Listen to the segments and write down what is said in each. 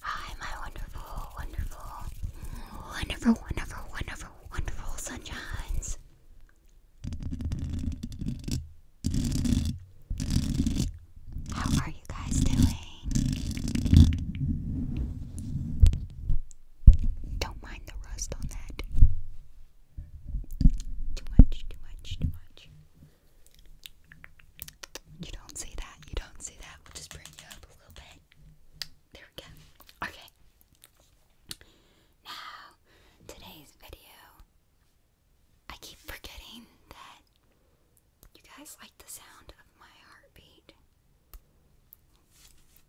Hi, my wonderful, wonderful, wonderful, wonderful, wonderful, wonderful sunshines. How are you guys doing? Don't mind the rust on that. Too much, too much, too much. You don't see that, you don't see that. We'll just bring you a little bit. There we go. Okay. Now, today's video. I keep forgetting that you guys like the sound of my heartbeat.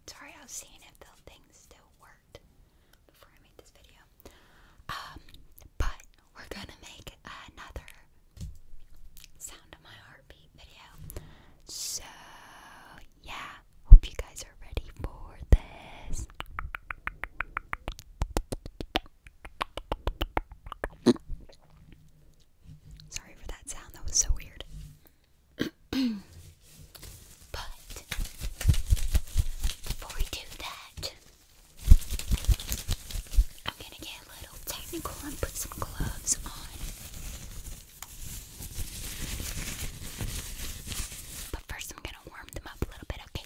Sorry, I was seeing if the thing still worked before I made this video. Um, but we're gonna make another sound of my heartbeat video. So yeah, hope you guys are ready for this. Sorry for that sound, that was so weird. But before we do that, I'm gonna get a little technical and put some gloves on. But first, I'm gonna warm them up a little bit, okay?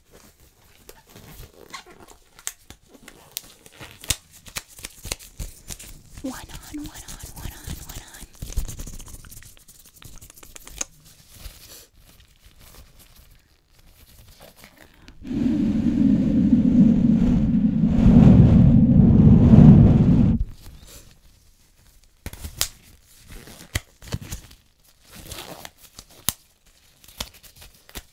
One on, one on, one on, one on.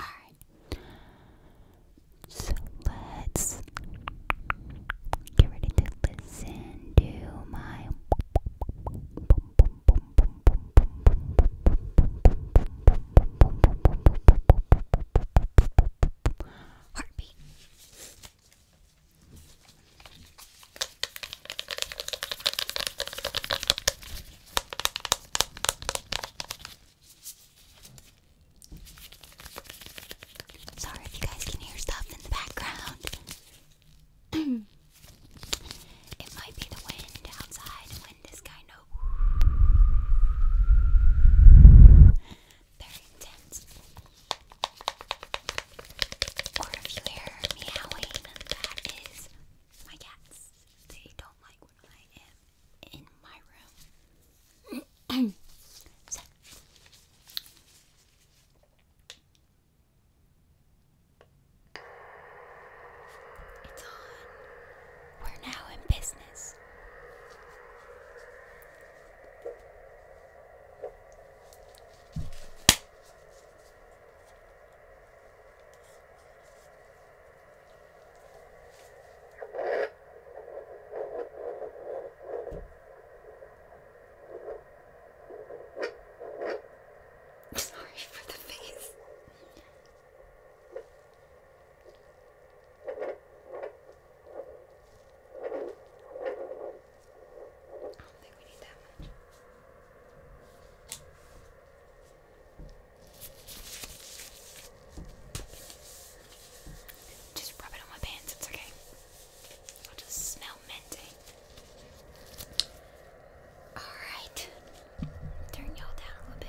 Alright. So let's get ready to listen to my heartbeat. Sorry if you guys can hear stuff in the background. it might be the wind outside. The wind is kind of very intense. Or if you hear meowing, that is my cats. They don't like when I am in my room. It's on. We're now in business. Sorry for the face. I Just rub it on my pants, it's okay. I'll just smell minty. Alright. Turn y'all down a little bit.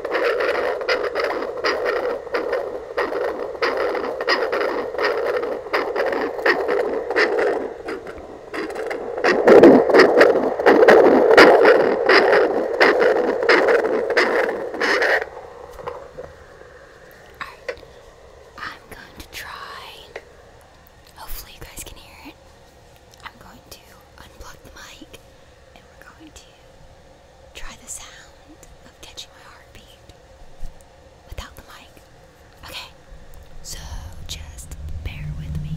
Alright, I'm going to try. Hopefully, you guys can hear it. I'm going to unplug the mic and we're going to Try the sound of catching my heartbeat without the mic. Okay, so just bear with me.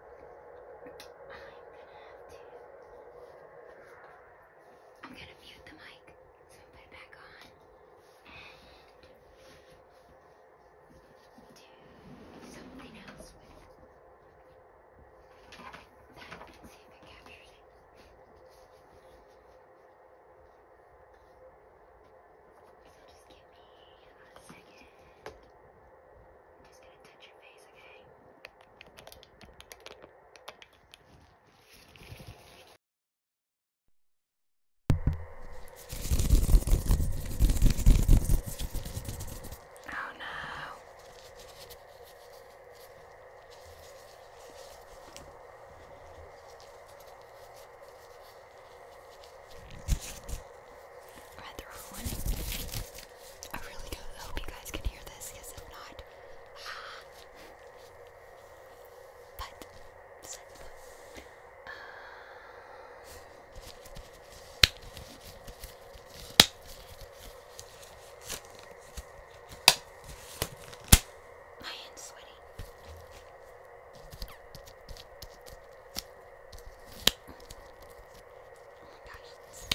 have to. I'm gonna mute the mic, so I'm gonna put it back on. And do something else with that and see if it captures it. So just give me a second. I'm just gonna touch your face, okay? Oh no. Rather one. I really do hope you guys can hear this, because if not, But, so, uh, sweaty. Oh my gosh,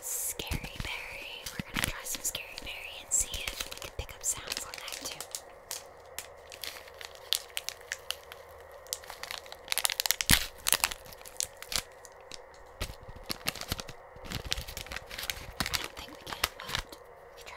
Scary Berry. We're gonna try some Scary Berry and see if we can pick up sounds on that too. I don't think we can, let's try.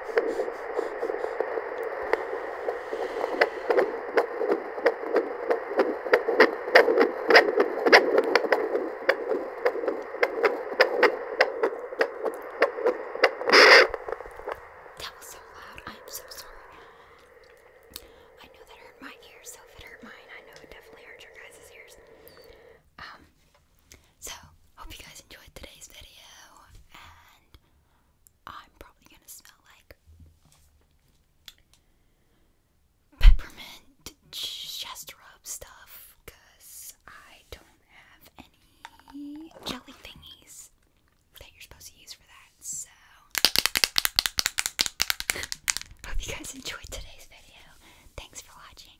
That was so loud. I am so sorry. I know that hurt my ears, so if it hurt mine, I know it definitely hurt your guys' ears. Um, so, hope you guys enjoyed today's video, and I'm probably gonna smell like peppermint chest rub stuff because I don't have any jelly thingies that you're supposed to use for that. So, hope you guys enjoyed today's video. Thanks for watching.